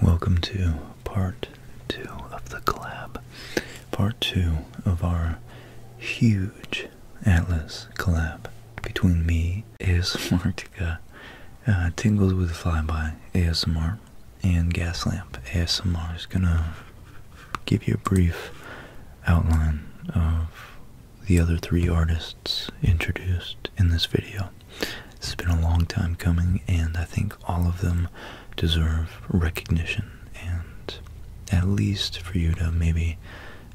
Welcome to part two of the collab, part two of our huge Atlas collab between me, ASMR Tika, uh, Tingles with Flyby ASMR, and gas lamp ASMR is gonna give you a brief outline of the other three artists introduced in this video. it has been a long time coming, and I think all of them deserve recognition, and at least for you to maybe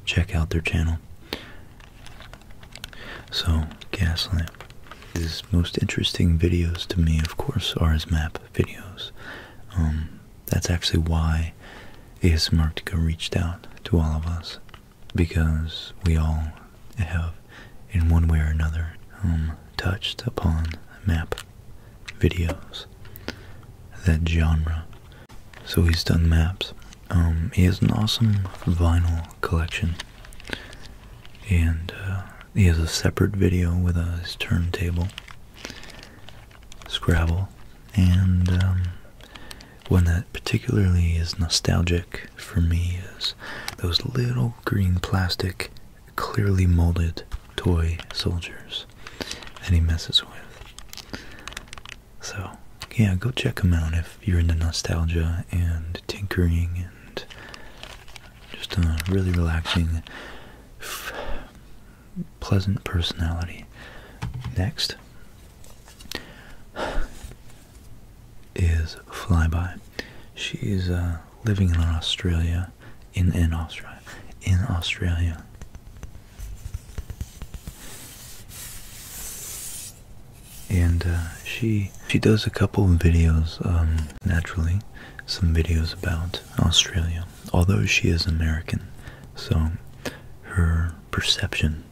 check out their channel. So, Gaslamp. His most interesting videos to me, of course, are his map videos. Um, that's actually why ASMRtica reached out to all of us because we all have, in one way or another, um, touched upon map videos, that genre. So he's done maps. Um, he has an awesome vinyl collection, and uh, he has a separate video with his turntable Scrabble, and um, one that particularly is nostalgic for me is those little green plastic, clearly molded toy soldiers that he messes with. So, yeah, go check them out if you're into nostalgia and tinkering and just a uh, really relaxing pleasant personality. Next is Flyby. She's uh, living in Australia, in in Australia, in Australia. And uh, she she does a couple videos, um, naturally, some videos about Australia although she is American, so her perception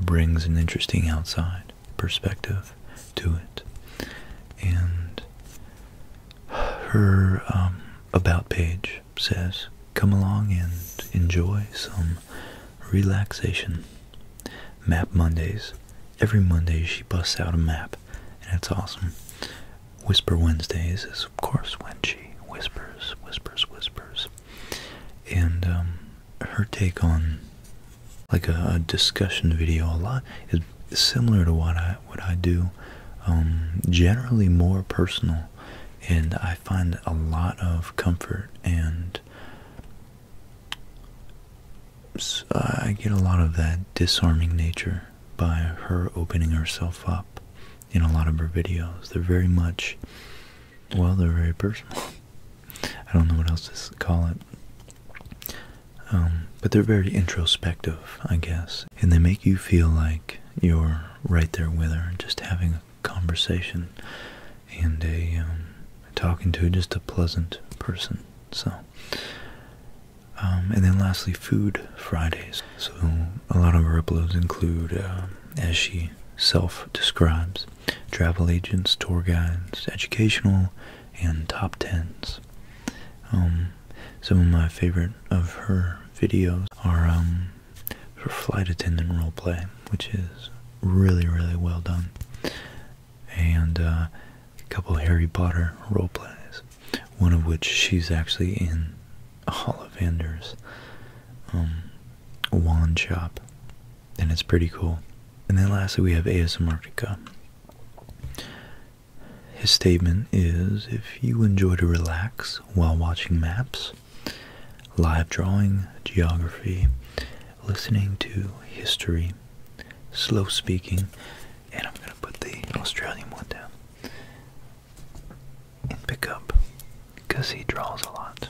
brings an interesting outside perspective to it. And her um, about page says, Come along and enjoy some relaxation. Map Mondays. Every Monday she busts out a map, and it's awesome. Whisper Wednesdays is, of course, when she whispers, whispers, whispers. And um, her take on like a, discussion video a lot is similar to what I what I do. Um, generally more personal, and I find a lot of comfort and I get a lot of that disarming nature by her opening herself up in a lot of her videos. They're very much, well, they're very personal. I don't know what else to call it. Um, but they're very introspective, I guess. And they make you feel like you're right there with her, and just having a conversation and a um, talking to just a pleasant person. So um, and then lastly, Food Fridays. So a lot of her uploads include, uh, as she self describes, travel agents, tour guides, educational, and top tens. Um, some of my favorite of her videos are um, her flight attendant role play, which is really, really well done. And uh, a couple Harry Potter role plays one of which she's actually in Ollivander's um, wand shop, and it's pretty cool. And then lastly, we have ASMRtica. His statement is if you enjoy to relax while watching maps, live drawing, geography, listening to history, slow speaking, and I'm going to put the Australian one down pick up because he draws a lot.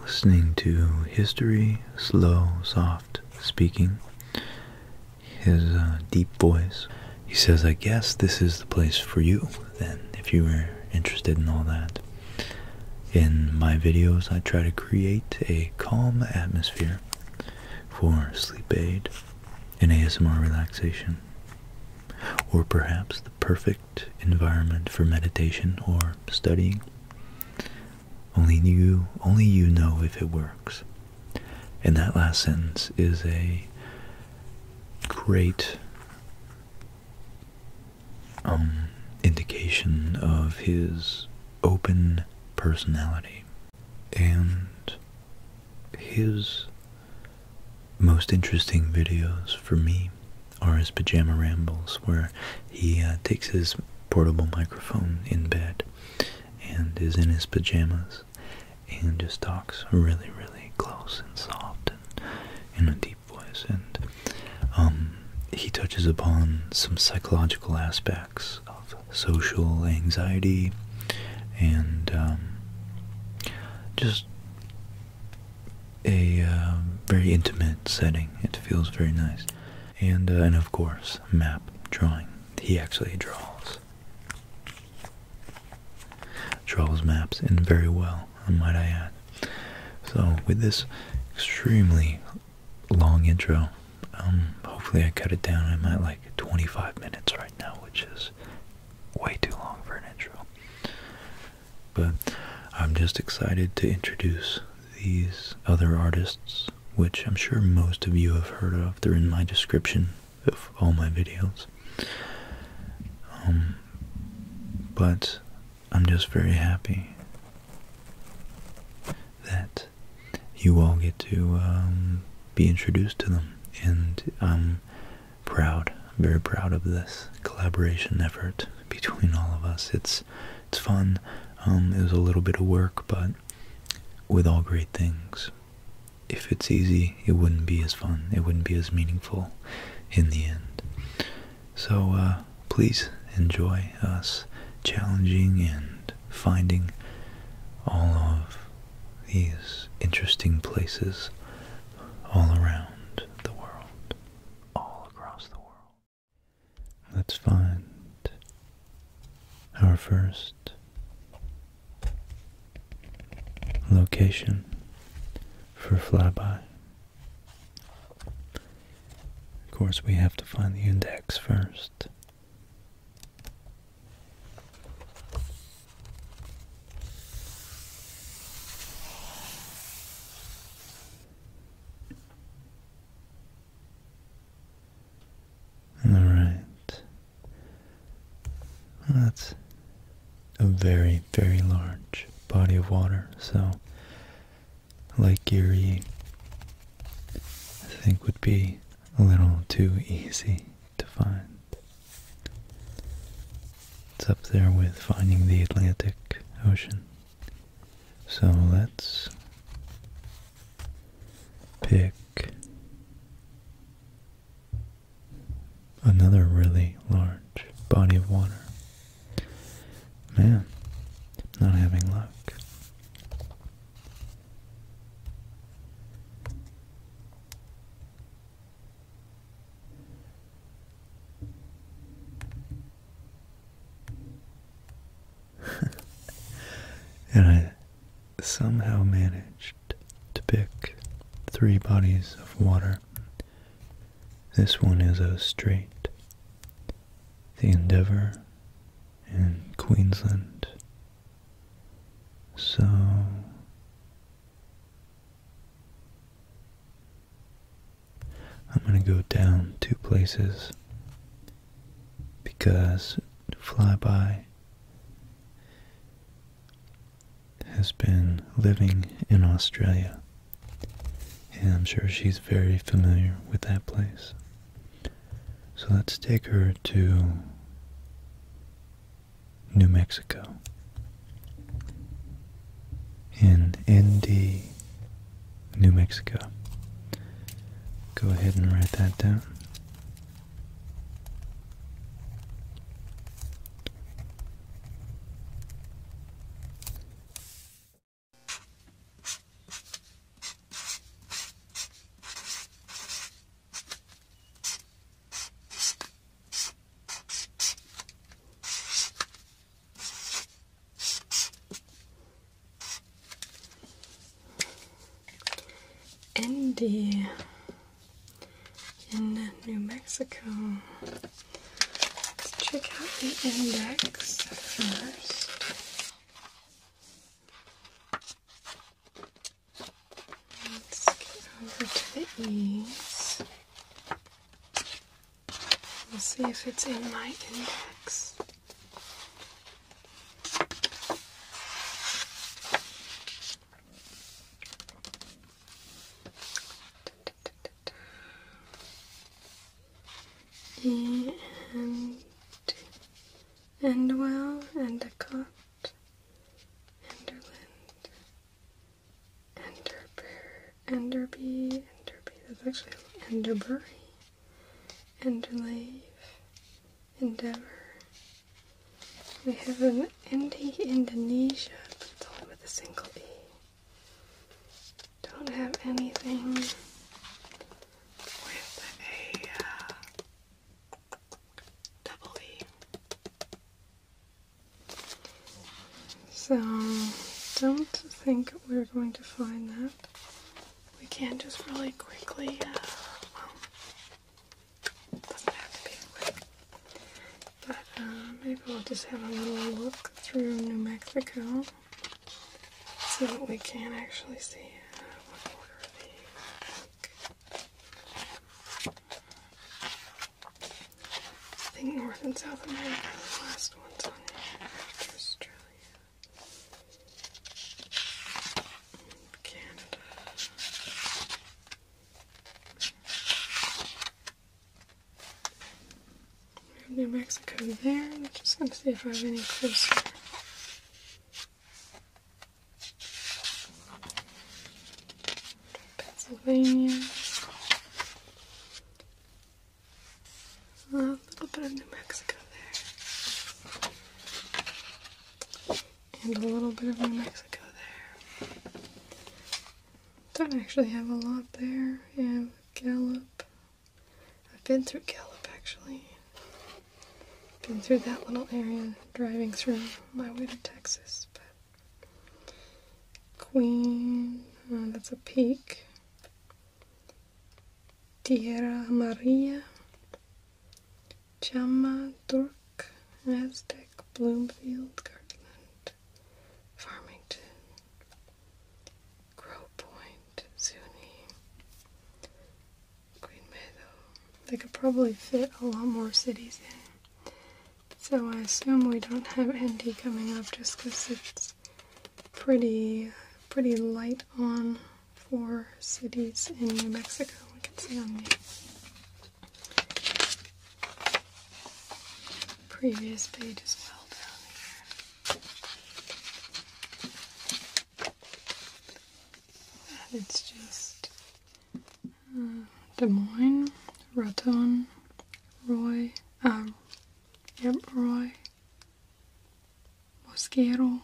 Listening to history, slow, soft speaking, his uh, deep voice, he says, I guess this is the place for you then, if you were interested in all that. In my videos, I try to create a calm atmosphere for sleep aid an ASMR relaxation, or perhaps the perfect environment for meditation or studying. Only you, only you know if it works. And that last sentence is a great um, indication of his open personality and his most interesting videos for me are his pajama rambles where he uh, takes his portable microphone in bed and is in his pajamas and just talks really really close and soft and in a deep voice and um, he touches upon some psychological aspects of social anxiety and um, just a uh, very intimate setting. It feels very nice. And, uh, and of course, map drawing. He actually draws. Draws maps in very well, might I add. So, with this extremely long intro, um, hopefully I cut it down. I'm at like 25 minutes right now, which is way too long for an intro. But I'm just excited to introduce these other artists, which I'm sure most of you have heard of. They're in my description of all my videos. Um, but I'm just very happy that you all get to um, be introduced to them. And I'm proud, I'm very proud of this collaboration effort between all of us. It's it's fun. Um, it was a little bit of work, but with all great things, if it's easy, it wouldn't be as fun. It wouldn't be as meaningful in the end. So uh, please enjoy us challenging and finding all of these interesting places all around the world, all across the world. Let's find our first location for flyby. Of course, we have to find the index first. All right. that's a very, very large body of water. So Lake Erie, I think, would be a little too easy to find. It's up there with finding the Atlantic Ocean. So let's pick another really large body of water. Man, not having luck. and I somehow managed to pick three bodies of water. This one is a strait. The Endeavour in Queensland so I'm going to go down two places because Flyby has been living in Australia and I'm sure she's very familiar with that place. So let's take her to New Mexico. In ND, New Mexico. Go ahead and write that down. Andy in New Mexico. Let's check out the index first. Let's get over to the ease. We'll see if it's in my index. E and and well and a cup. Enderland, Enderbear, Enderby, Enderby, that's actually Enderbury, Enderlave, Endeavor. We have an Endi Indonesia, it's only with a single E. Don't have anything with a so don't think we're going to find that. We can just really quickly, uh, but uh, maybe we'll just have a little look through New Mexico so that we can actually see uh, I think North and South America are the last ones on here after Australia. Canada. New Mexico there. just going to see if I have any closer. Pennsylvania. A little bit of New Mexico there. And a little bit of New Mexico there. Don't actually have a lot there. Yeah, Gallup. I've been through Gallup actually. Been through that little area driving through my way to Texas, but Queen, oh, that's a peak. Tierra Maria. Chama, Dork, Aztec, Bloomfield, Kirkland, Farmington, Grove Point, Zuni, Green Meadow. They could probably fit a lot more cities in. So I assume we don't have Endy coming up just because it's pretty, pretty light on for cities in New Mexico. We can see on the previous page as well. it's just uh, Des Moines, Raton, Roy, um, yep, Roy, Mosquero,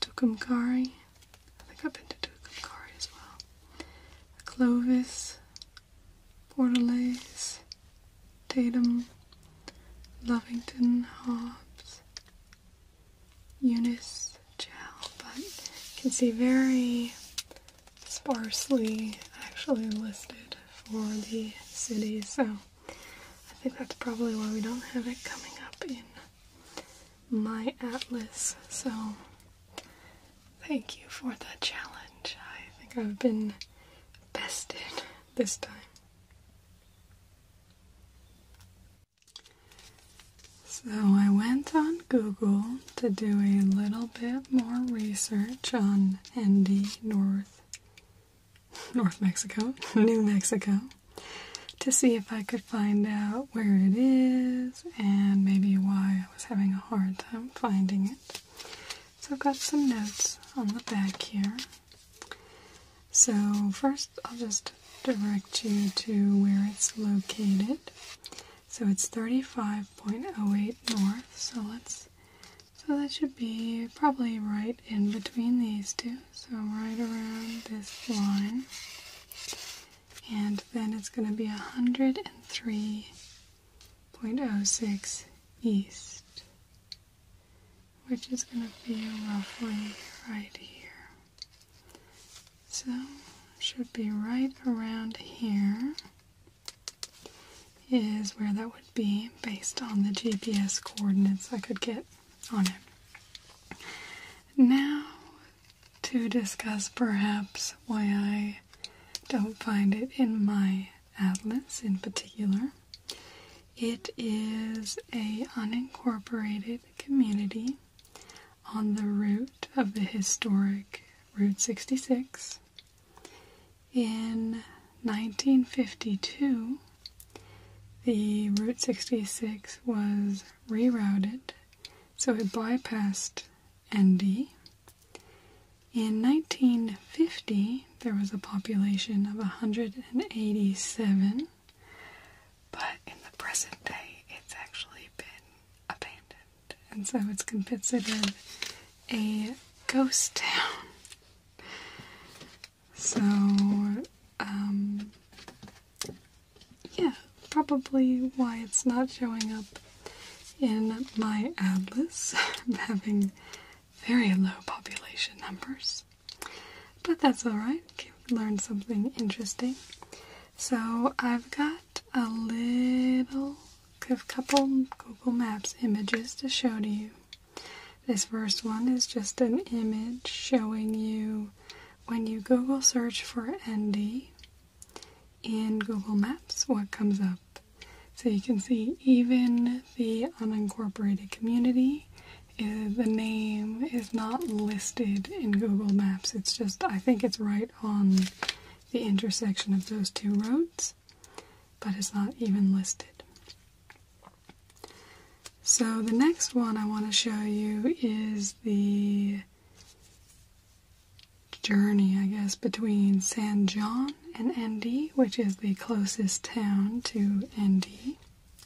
Tucumcari. I think I've been to Tucumcari as well. Clovis, Portales, Tatum, Lovington, Hobbs, Eunice gel, but you can see very sparsely actually listed for the city, so I think that's probably why we don't have it coming up in my atlas. So thank you for the challenge. I think I've been bested this time. So I went on Google to do a little bit more research on ND North North Mexico, New Mexico, to see if I could find out where it is and maybe why I was having a hard time finding it. So I've got some notes on the back here. So, first I'll just direct you to where it's located. So it's 35.08 north. So let's so that should be probably right in between these two. So right around this line. And then it's going to be 103.06 east which is going to be roughly right here. So, should be right around here is where that would be based on the GPS coordinates I could get on it. Now, to discuss perhaps why I don't find it in my atlas in particular. It is a unincorporated community on the route of the historic Route 66. In 1952, the Route 66 was rerouted so it bypassed ND. In 1950, there was a population of 187 but in the present day, it's actually been abandoned, and so it's considered a ghost town. So, um, yeah, probably why it's not showing up in my atlas. having very low population numbers. But that's alright, learn something interesting. So I've got a little a couple Google Maps images to show to you. This first one is just an image showing you when you Google search for ND in Google Maps what comes up. So you can see even the unincorporated community Eh, the name is not listed in Google Maps. It's just, I think it's right on the intersection of those two roads, but it's not even listed. So, the next one I want to show you is the journey, I guess, between San Juan and ND, which is the closest town to ND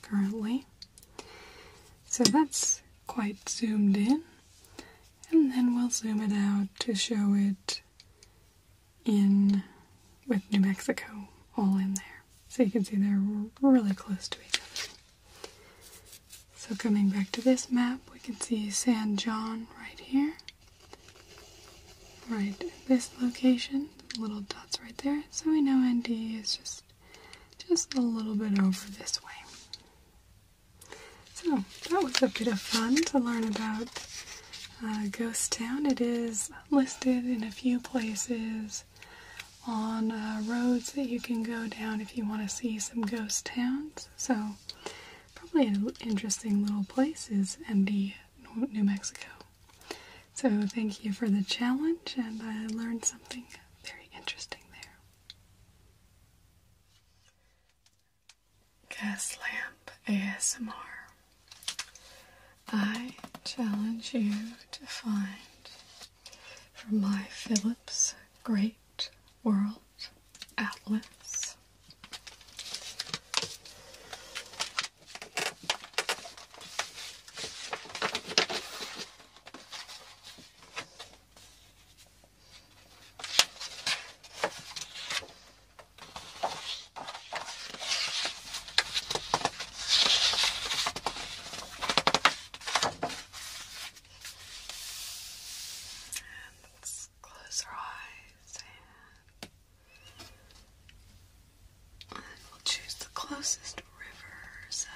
currently. So that's quite zoomed in, and then we'll zoom it out to show it in with New Mexico all in there. So you can see they're really close to each other. So coming back to this map, we can see San John right here. Right this location, little dots right there. So we know ND is just just a little bit over this way. So that was a bit of fun to learn about uh, Ghost Town. It is listed in a few places on uh, roads that you can go down if you want to see some ghost towns. So probably an interesting little place is MD, New Mexico. So thank you for the challenge and I learned something very interesting there. Gas Lamp ASMR. I challenge you to find from my Philips Great World Atlas let's close our eyes and and we'll choose the closest river, so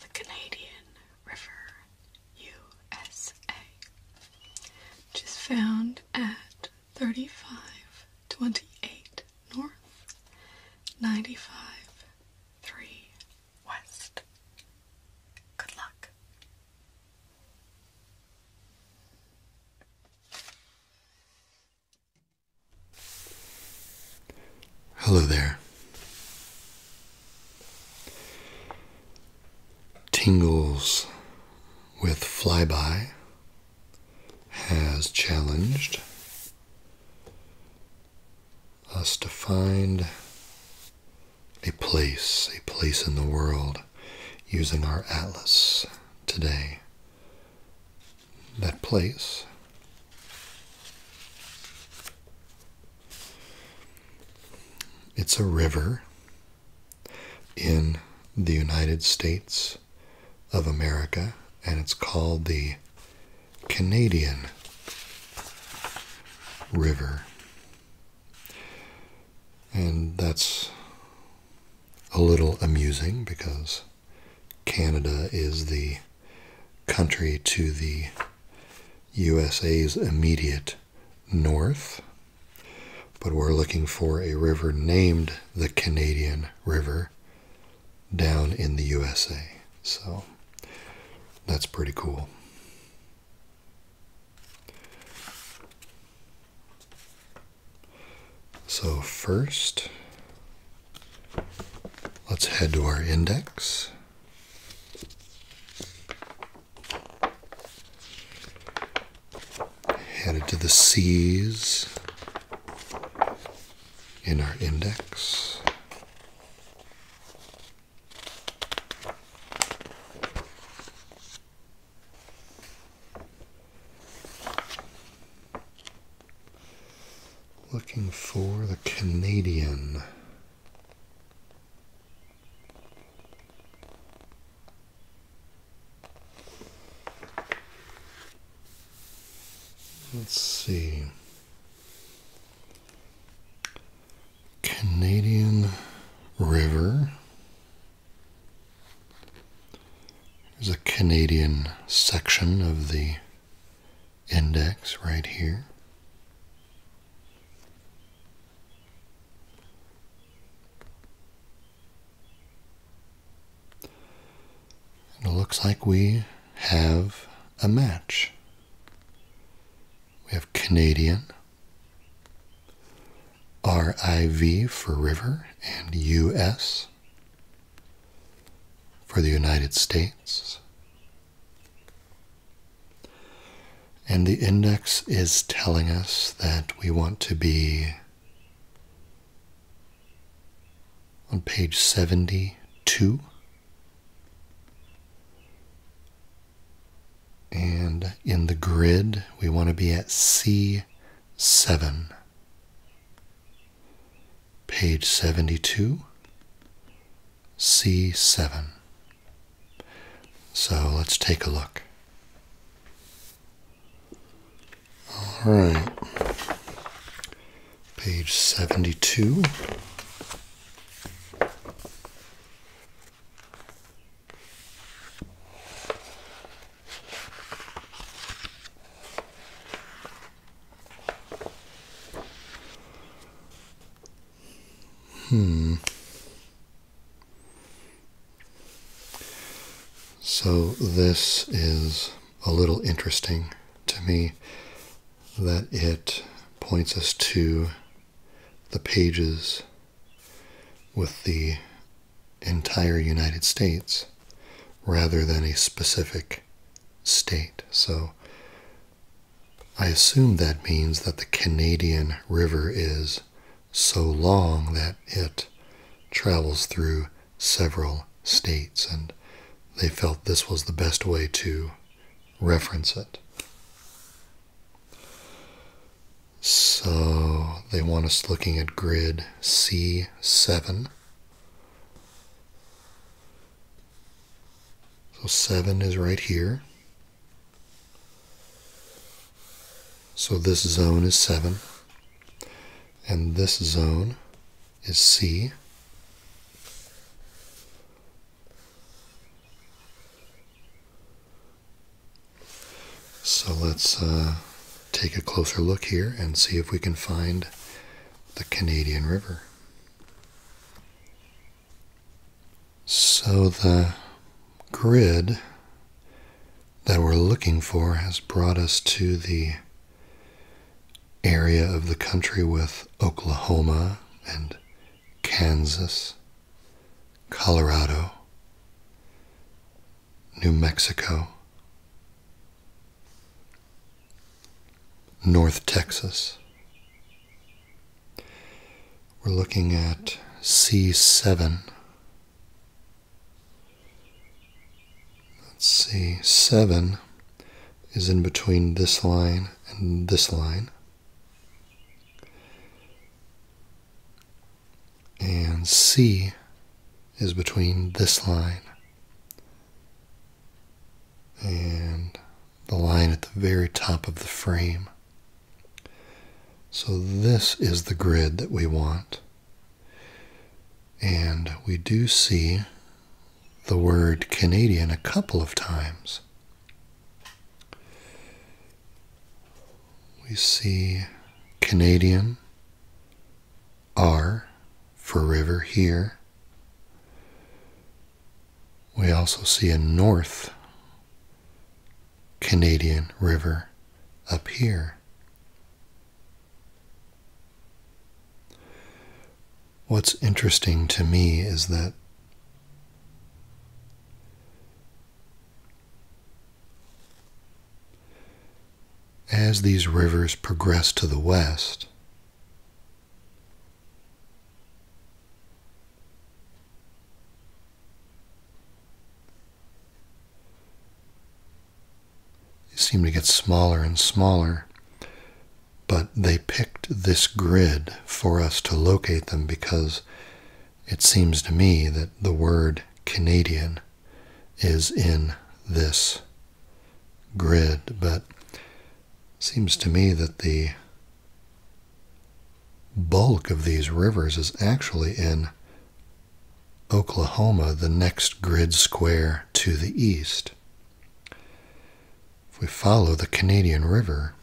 the Canadian River, USA, which is found at 3528 North, 953 West. Good luck. Hello there. Tingles with Flyby has challenged us to find a place, a place in the world using our atlas today. That place it's a river in the United States of America, and it's called the Canadian River. And that's a little amusing because Canada is the country to the USA's immediate north, but we're looking for a river named the Canadian River down in the USA. So that's pretty cool. So first, let's head to our index. Headed to the C's in our index. Looking for the Canadian. Let's see. Canadian River. There's a Canadian section of the index right here. And it looks like we have a match. We have Canadian, RIV for river, and US for the United States. And the index is telling us that we want to be on page 72. And in the grid, we want to be at C7, page 72, C7. So let's take a look. All right, page 72. Hmm. So this is a little interesting to me that it points us to the pages with the entire United States rather than a specific state. So I assume that means that the Canadian River is so long that it travels through several states, and they felt this was the best way to reference it. So they want us looking at grid C7. So 7 is right here. So this zone is 7. And this zone is C. So let's uh, take a closer look here and see if we can find the Canadian River. So the grid that we're looking for has brought us to the area of the country with Oklahoma and Kansas, Colorado, New Mexico, North Texas, we're looking at C7. Let's see, 7 is in between this line and this line. And C is between this line and the line at the very top of the frame. So this is the grid that we want. And we do see the word Canadian a couple of times. We see Canadian, R for river here, we also see a North Canadian river up here. What's interesting to me is that as these rivers progress to the west, they seem to get smaller and smaller, but they picked this grid for us to locate them because it seems to me that the word Canadian is in this grid, but seems to me that the bulk of these rivers is actually in Oklahoma, the next grid square to the east. If we follow the Canadian River,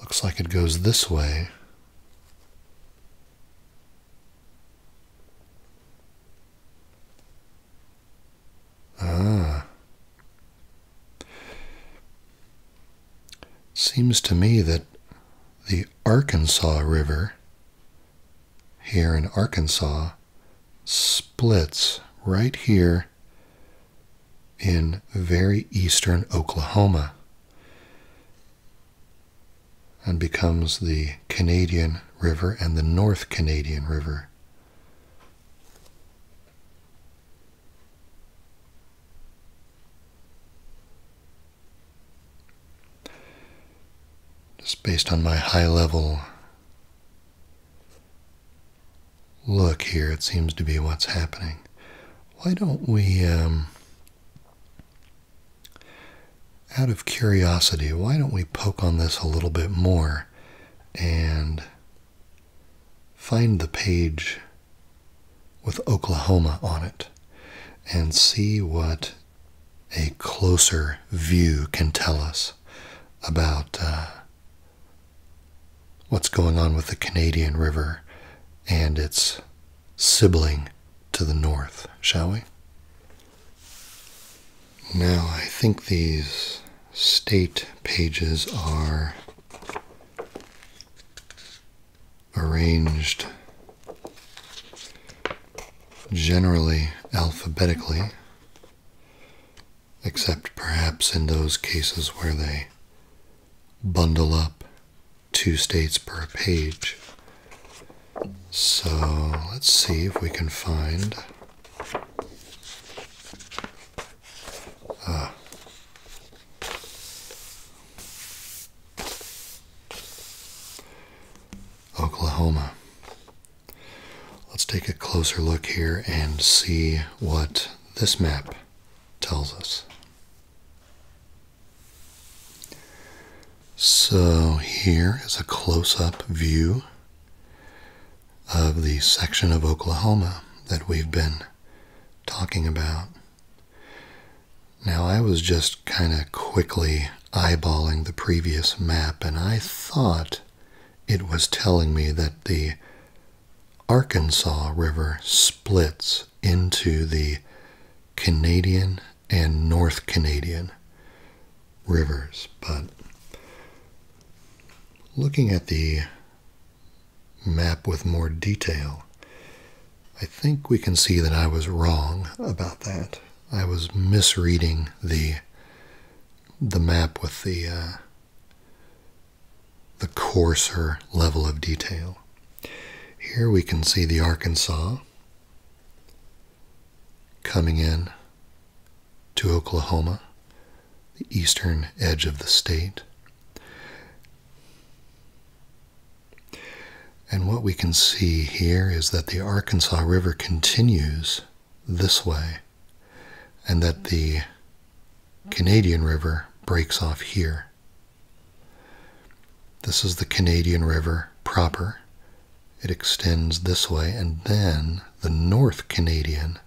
looks like it goes this way Ah. Seems to me that the Arkansas River here in Arkansas splits right here in very eastern Oklahoma and becomes the Canadian River and the North Canadian River. Just based on my high level look here, it seems to be what's happening. Why don't we um, out of curiosity, why don't we poke on this a little bit more and find the page with Oklahoma on it and see what a closer view can tell us about uh, what's going on with the Canadian River and its sibling to the north, shall we? Now, I think these state pages are arranged generally alphabetically, except perhaps in those cases where they bundle up two states per page. So let's see if we can find. Uh, Oklahoma. Let's take a closer look here and see what this map tells us. So here is a close-up view of the section of Oklahoma that we've been talking about. Now I was just kind of quickly eyeballing the previous map and I thought it was telling me that the Arkansas River splits into the Canadian and North Canadian rivers. But looking at the map with more detail, I think we can see that I was wrong about that. I was misreading the the map with the uh, the coarser level of detail. Here we can see the Arkansas Coming in to Oklahoma, the eastern edge of the state. And what we can see here is that the Arkansas River continues this way, and that the Canadian River breaks off here. This is the Canadian River proper. It extends this way, and then the North Canadian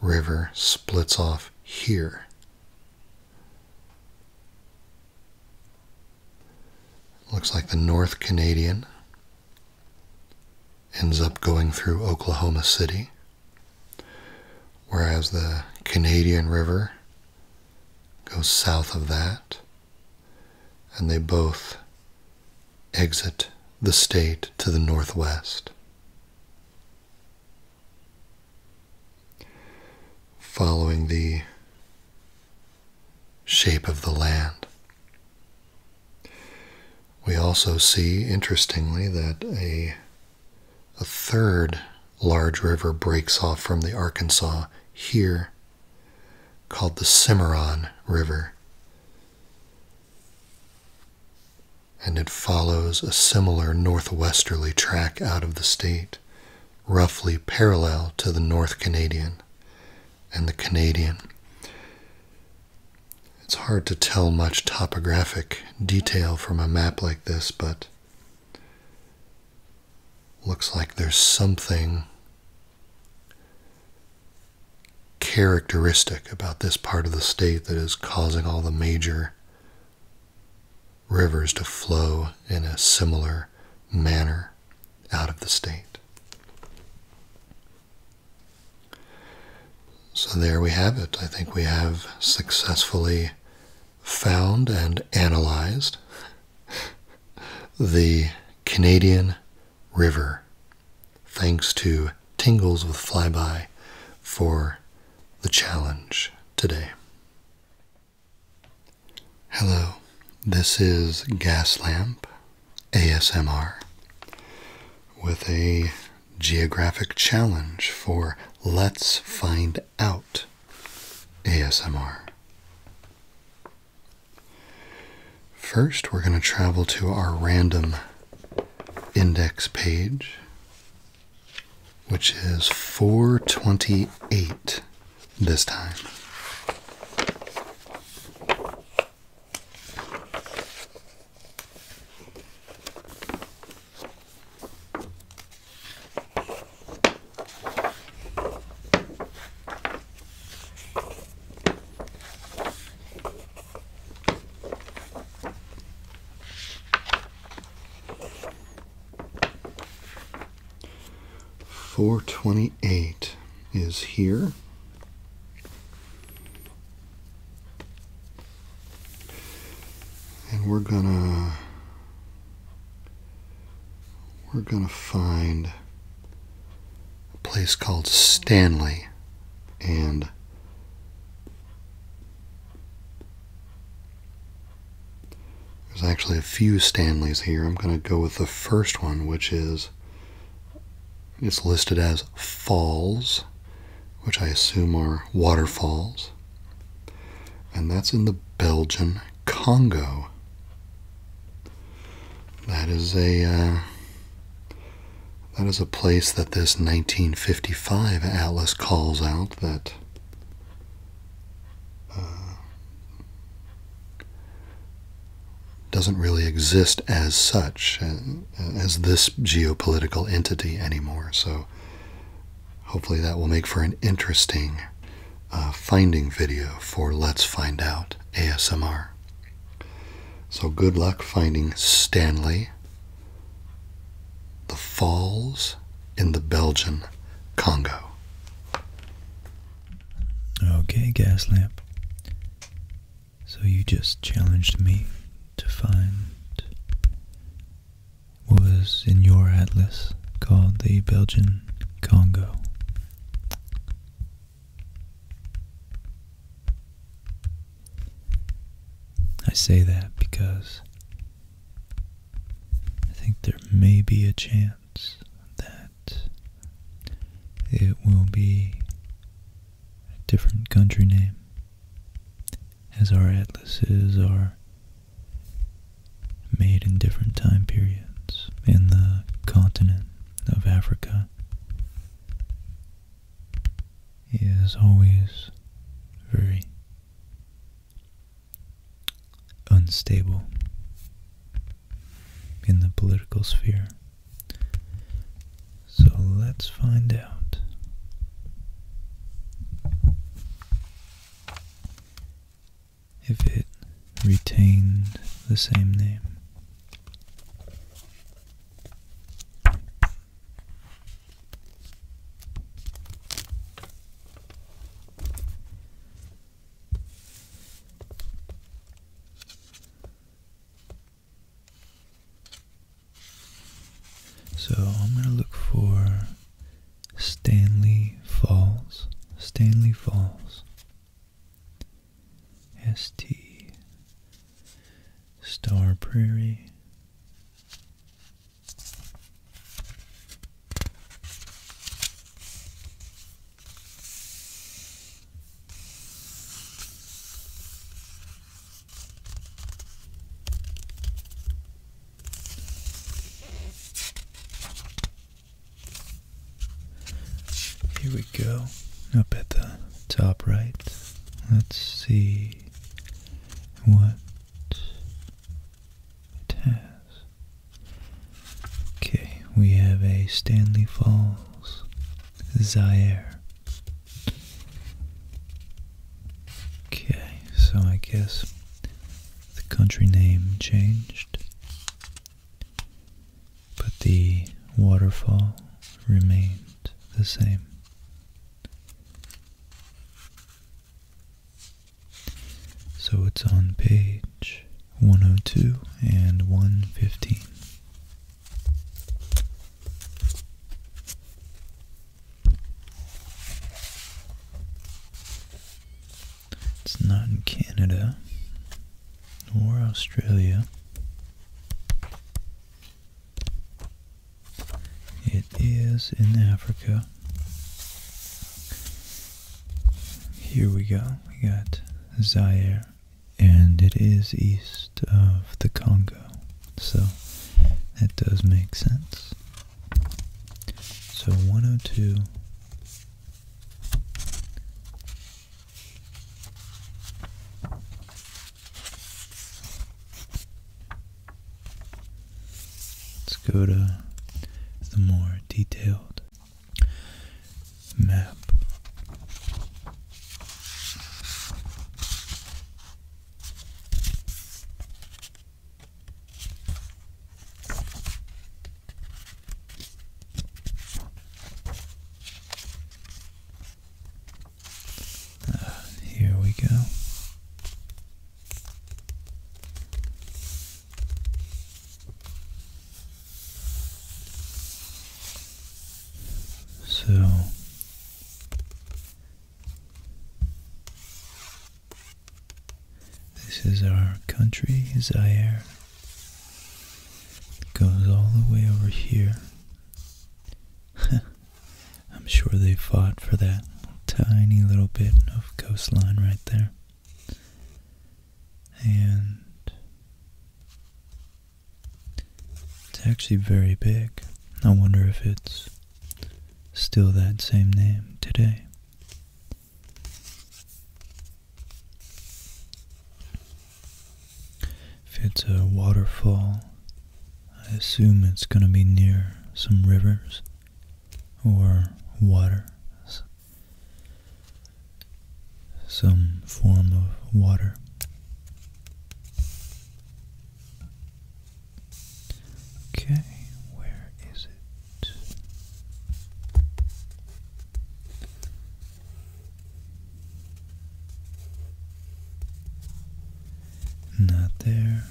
River splits off here. Looks like the North Canadian ends up going through Oklahoma City, whereas the Canadian River goes south of that and they both exit the state to the northwest. Following the shape of the land. We also see, interestingly, that a, a third large river breaks off from the Arkansas here called the Cimarron River. And it follows a similar northwesterly track out of the state, roughly parallel to the North Canadian and the Canadian. It's hard to tell much topographic detail from a map like this, but Looks like there's something characteristic about this part of the state that is causing all the major rivers to flow in a similar manner out of the state. So there we have it. I think we have successfully found and analyzed the Canadian River. Thanks to Tingles with Flyby for the challenge today. Hello, this is Gas Lamp ASMR with a geographic challenge for Let's Find Out ASMR. First, we're going to travel to our random index page, which is 428 this time. 428 is here. And we're gonna we're going to find a place called Stanley and there's actually a few Stanleys here. I'm going to go with the first one, which is it's listed as Falls, which I assume are waterfalls. And that's in the Belgian Congo. That is a uh, that is a place that this 1955 atlas calls out that uh, doesn't really exist as such uh, as this geopolitical entity anymore. So hopefully that will make for an interesting uh, finding video for Let's Find Out ASMR. So good luck finding Stanley, the falls in the Belgian Congo. Okay, gas lamp. So you just challenged me to find what was in your atlas called the Belgian Congo. I say that because I think there may be a chance that it will be a different country name, as our atlases are made in different time periods in the continent of Africa is always very unstable in the political sphere. So let's find out if it retained the same name. So I'm going to look for Stanley Falls. Stanley Falls. S T. Star Prairie here we go, up at the top right. Let's see what it has. Okay, we have a Stanley Falls Zaire. Okay, so I guess the country name changed but the waterfall remained the same. So it's on page 102 and 115. It's not in Canada or Australia. It is in Africa. Here we go. We got Zaire, and it is east of the Congo. So that does make sense. So 102 Let's go to the more detailed map here we go. So this is our country, Zaire, it goes all the way over here. I'm sure they fought for that tiny little bit of coastline right there. And it's actually very big. I wonder if it's still that same name today. If it's a waterfall, I assume it's going to be near some rivers or water, some form of water. Okay, where is it? Not there.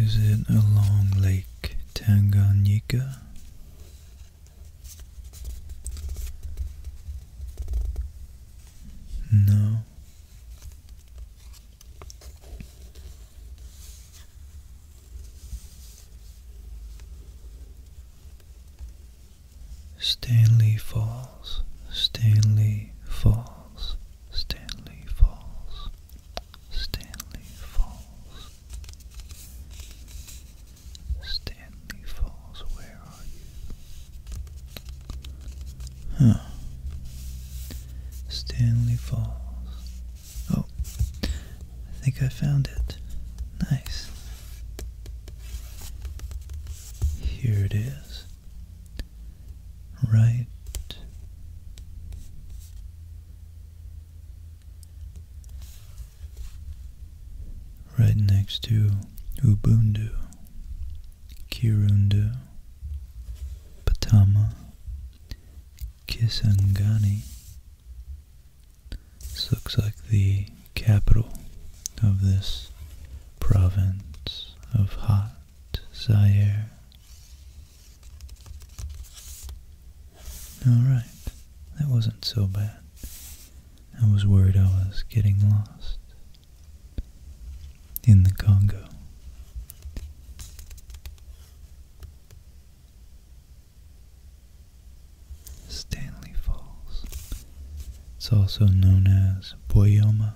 Is it a long Lake Tanganyika? No. Stanley Falls, Stanley Falls, Stanley Falls, Stanley Falls, Stanley Falls, where are you? Huh. Stanley Falls. Oh, I think I found it. Nice. Here it is. Right right next to Ubundu, Kirundu, Patama, Kisangani, this looks like the capital of this province of hot Zaire. Alright, that wasn't so bad. I was worried I was getting lost in the Congo. Stanley Falls. It's also known as Boyoma.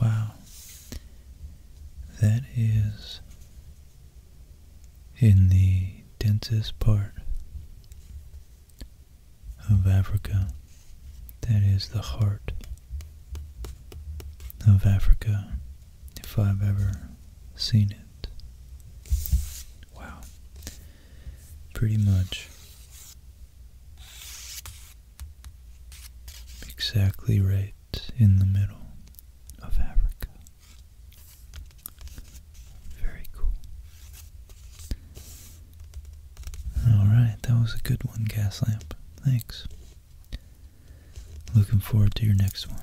Wow. That is in the densest part of Africa. That is the heart of Africa if I've ever seen it. Wow. Pretty much exactly right in the middle of Africa. Very cool. Alright, that was a good one, Gas Lamp. Thanks. Looking forward to your next one.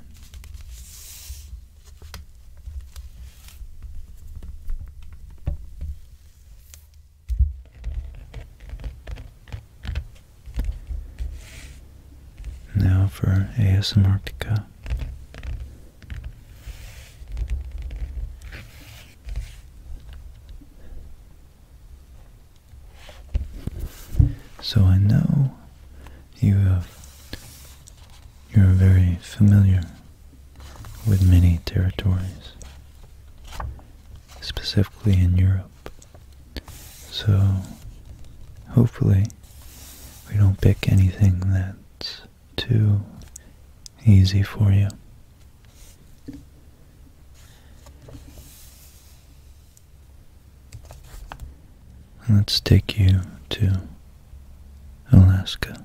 Now for ASMarctica. So I know you have you're very familiar with many territories, specifically in Europe. So hopefully we don't pick anything that's too easy for you let's take you to Alaska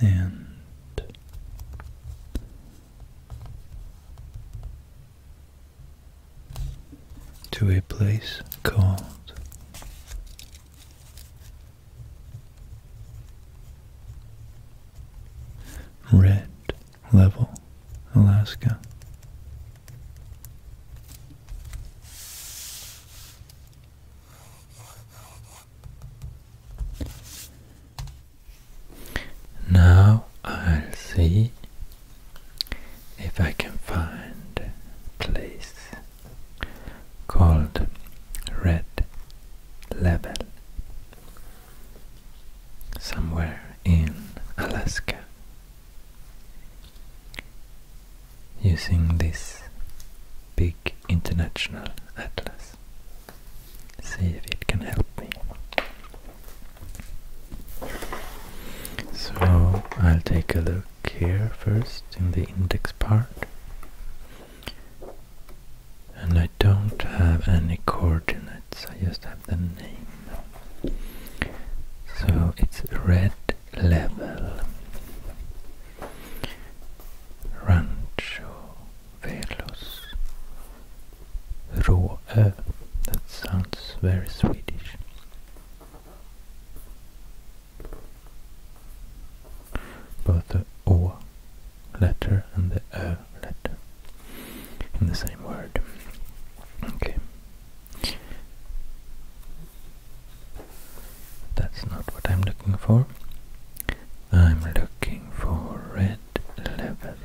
and to a place called Red Level, Alaska. Now I'll see if I can find a place called Red Level somewhere in Alaska using this big international atlas. See if it can help me. So I'll take a look here first in the index part. And I don't have any coordinates, I just have the name. So it's red level. Rancho Velos Råö. Uh, that sounds very Swedish. Both the O letter and the Ö letter in the same word. Okay, that's not what I'm looking for. I'm looking for red level.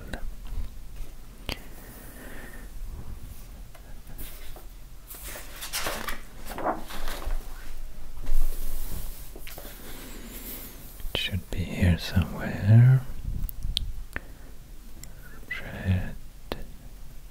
It should be here somewhere. Red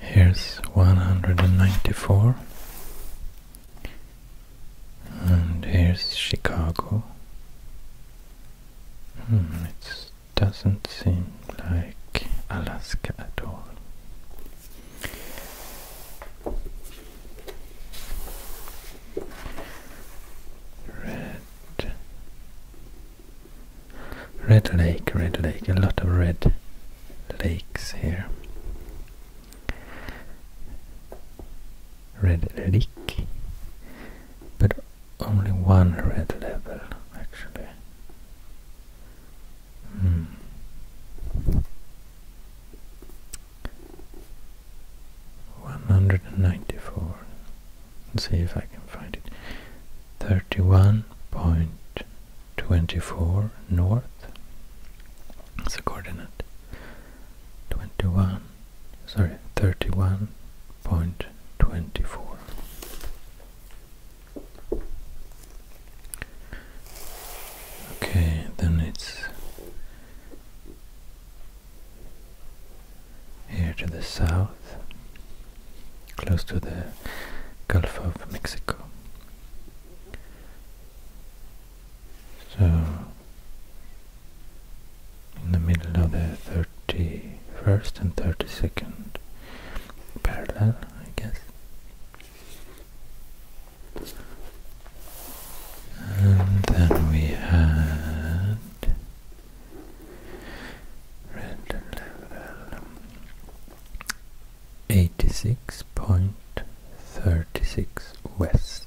Here's one hundred and ninety four. And here's Chicago. Hmm, it doesn't seem like Alaska at all. Red. Red lake, red lake, a lot of red lakes here red leak but only one red level actually hmm. one hundred see if I can find it thirty one point twenty four north That's the coordinate 21 sorry 31.24 okay then it's here to the south close to the Gulf of Mexico so, in the middle of the 31st and 32nd parallel, I guess. And then we had red level 86.36 west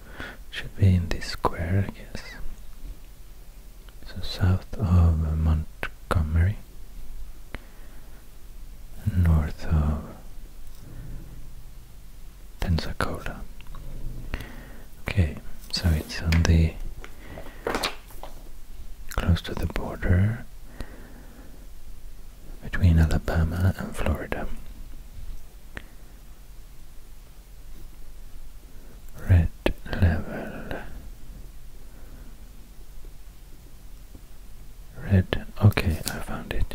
should be in this square, I guess. So south of Montgomery, north of Pensacola. Okay, so it's on the close to the border between Alabama and Florida red level red okay I found it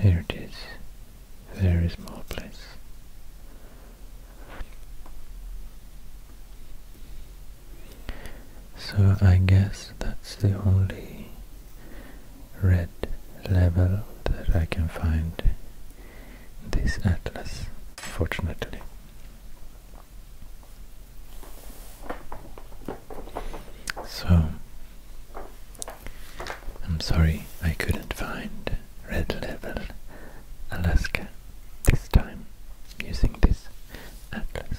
here it is very small place so I guess that's the only red level that I can find this atlas, fortunately. So, I'm sorry I couldn't find red level Alaska this time using this atlas.